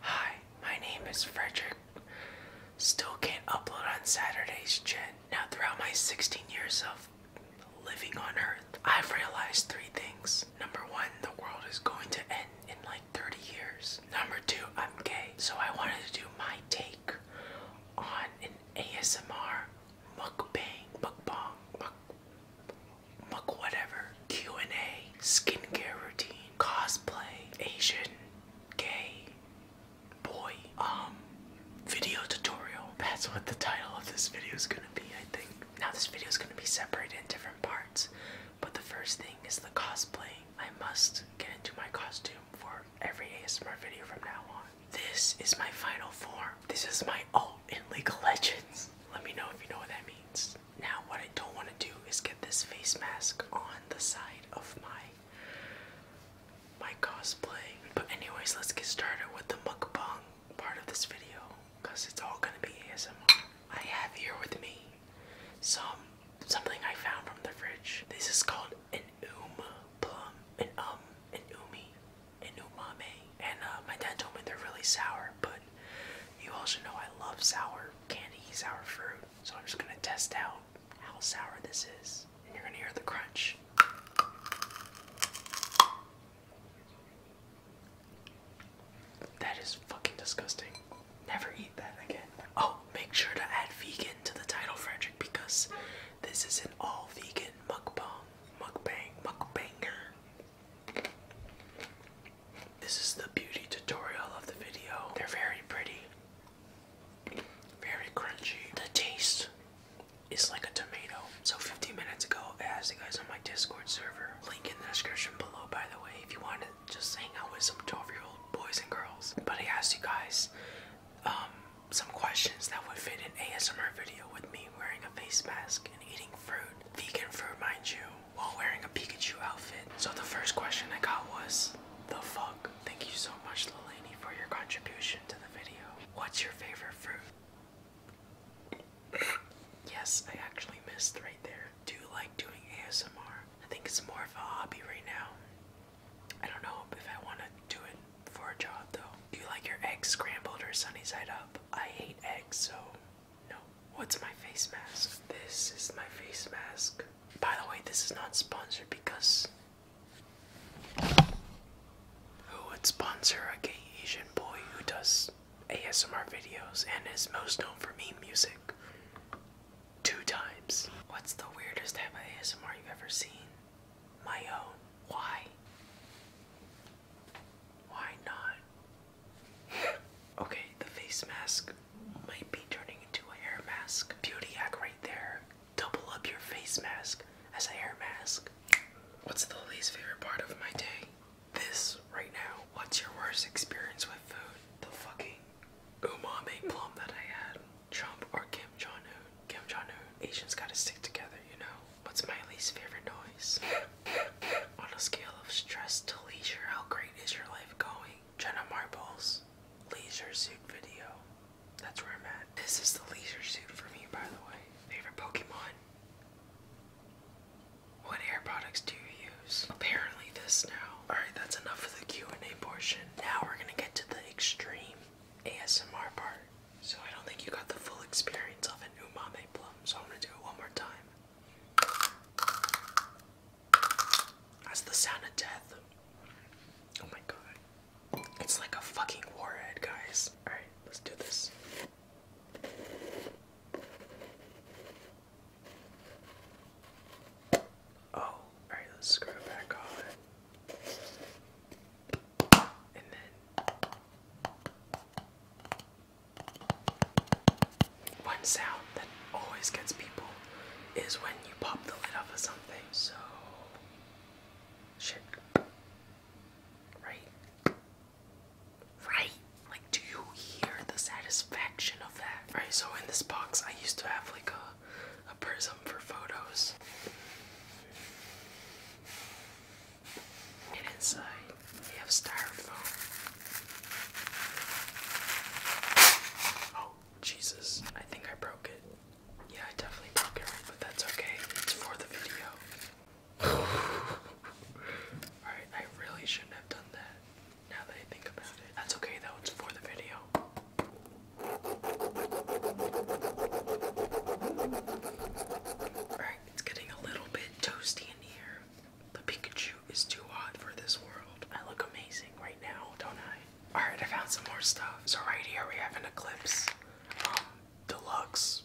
Hi, my name is Frederick. Still can't upload on Saturday's Gen. Now, throughout my 16 years of living on Earth, I've realized three things. Number one, the world is going to end in like 30 years. Number two, I'm gay. So I wanted to do my take on an ASMR mukbang, mukbang, muk, muk whatever Q&A, skincare routine, cosplay, Asian, gay, boy, um, video tutorial. That's what the title of this video is gonna be, I think. Now this video is gonna be separated in different parts, but the first thing is the cosplay. I must get into my costume for every ASMR video from now on. This is my final form. This is my alt in League of Legends. Let me know if you know what that means face. Now, what I don't want to do is get this face mask on the side of my my cosplay. But anyways, let's get started with the mukbang part of this video because it's all gonna be ASMR. I have here with me some something I found from the fridge. This is called an um plum, an um, an umi, an umame. And uh, my dad told me they're really sour, but you also know I love sour candy, sour fruit. So I'm just gonna test out how sour this is. And you're gonna hear the crunch. That is fucking disgusting. Never eat that again. Oh, make sure to add vegan to the title, Frederick, because this is an all vegan mukbang. Mukbang, mukbanger. This is the beauty tutorial of the video. They're very pretty, very crunchy. The taste is like a tomato. So 15 minutes ago, I asked you guys on my Discord server. Link in the description below, by the way, if you want to just hang out with some 12-year-old boys and girls. But I asked you guys um, some questions that would fit an ASMR video with me wearing a face mask and eating fruit, vegan fruit, mind you while wearing a Pikachu outfit. So the first question I got was, the fuck? Thank you so much, Lilani, for your contribution to the video. What's your favorite fruit? yes, I actually missed right there. Do you like doing ASMR? I think it's more of a hobby right now. I don't know if I want to do it for a job though. Do you like your eggs scrambled or sunny side up? I hate eggs, so no, what's my face mask? This is my face mask. By the way, this is not sponsored because who would sponsor a gay Asian boy who does ASMR videos and is most known for meme music? Two times. What's the weirdest type of ASMR you've ever seen? My own. Why? Why not? okay, the face mask might be turning into a hair mask. Beauty hack right there. Double up your face mask as a hair mask. What's the least favorite part of my day? This right now. What's your worst experience with food? The fucking umami plum that I had. Trump or Kim Jong Un? Kim Jong Un. Asians gotta stick together, you know? What's my least favorite noise? On a scale of stress to leisure, how great is your life going? Jenna Marbles, leisure suit video. That's where I'm at. This is the leisure suit for me, by the way. Favorite Pokemon? What hair products do you use? Apparently this now. Alright, that's enough for the Q&A portion. Now we're gonna get to the extreme ASMR part. So I don't think you got the full experience of it umami plum. I'm to do it one more time. That's the sound of death. Oh my god. It's like a fucking warhead, guys. Alright, let's do this. Oh, alright, let's screw it back on. And then. One sound that always gets people is when you pop the lid off of something. So, shit. Right? Right? Like, do you hear the satisfaction of that? Right, so in this box, I used to have like a, a prism for photos. And inside we have styrofoam. Oh, Jesus. I think I broke it. Yeah, I definitely broke it, but that's okay. It's for the video. Alright, I really shouldn't have done that. Now that I think about it. That's okay though, it's for the video. Alright, it's getting a little bit toasty in here. The Pikachu is too hot for this world. I look amazing right now, don't I? Alright, I found some more stuff. So right here we have an Eclipse. Um, deluxe.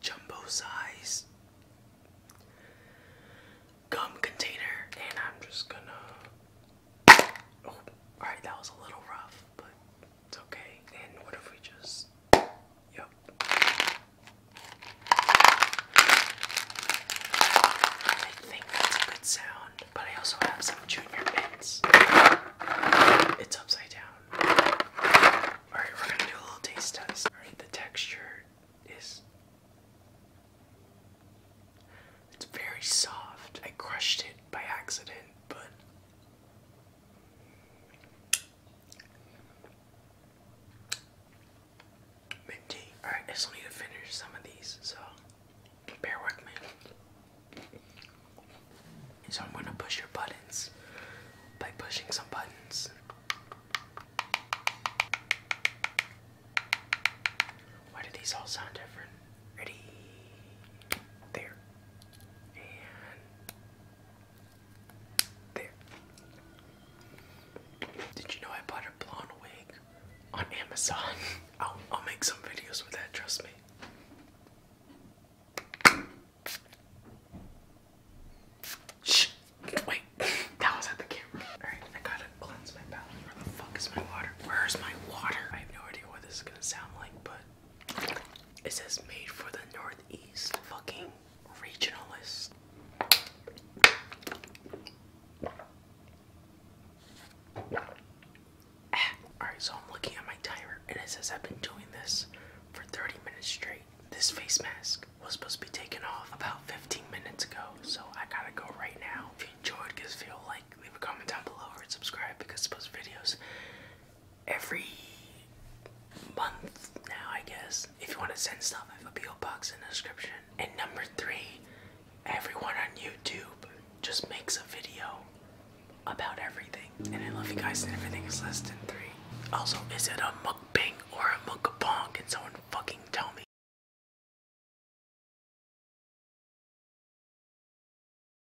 Jumbo size. Gum container. And I'm just gonna... Oh, alright, that was a little rough, but it's okay. And what if we just. Yep. I think that's a good sound, but I also have some junior mints. It's upside down. Alright, we're gonna do a little taste test. Alright, the texture is. It's very soft. I crushed it by accident, but Mint Alright, I still need to finish some of these, so bear with me. So I'm gonna push your buttons by pushing some buttons. Why do these all sound different? Ready? There. And did you know I bought a blonde wig on Amazon? I'll, make some videos with that, trust me. Shh. Wait, that was at the camera. Alright, I gotta cleanse my palate. Where the fuck is my water? Where's my water? I have no idea what this is gonna sound like, but it says made for the Northeast fucking regionalist. Ah, Alright, so I'm looking at my timer and it says I've been doing this for 30 minutes straight. This face mask was supposed to be taken off about 15 minutes ago, so I gotta go right now. If you enjoyed, give this video a like, leave a comment down below, or subscribe because I post videos every month now, I guess. If you want to send stuff, I have a PO box in the description. And number three, everyone on YouTube just makes a video about everything. And I love you guys, and everything is less than three. Also, is it a mukbang or a mukbang? Can someone fucking tell me?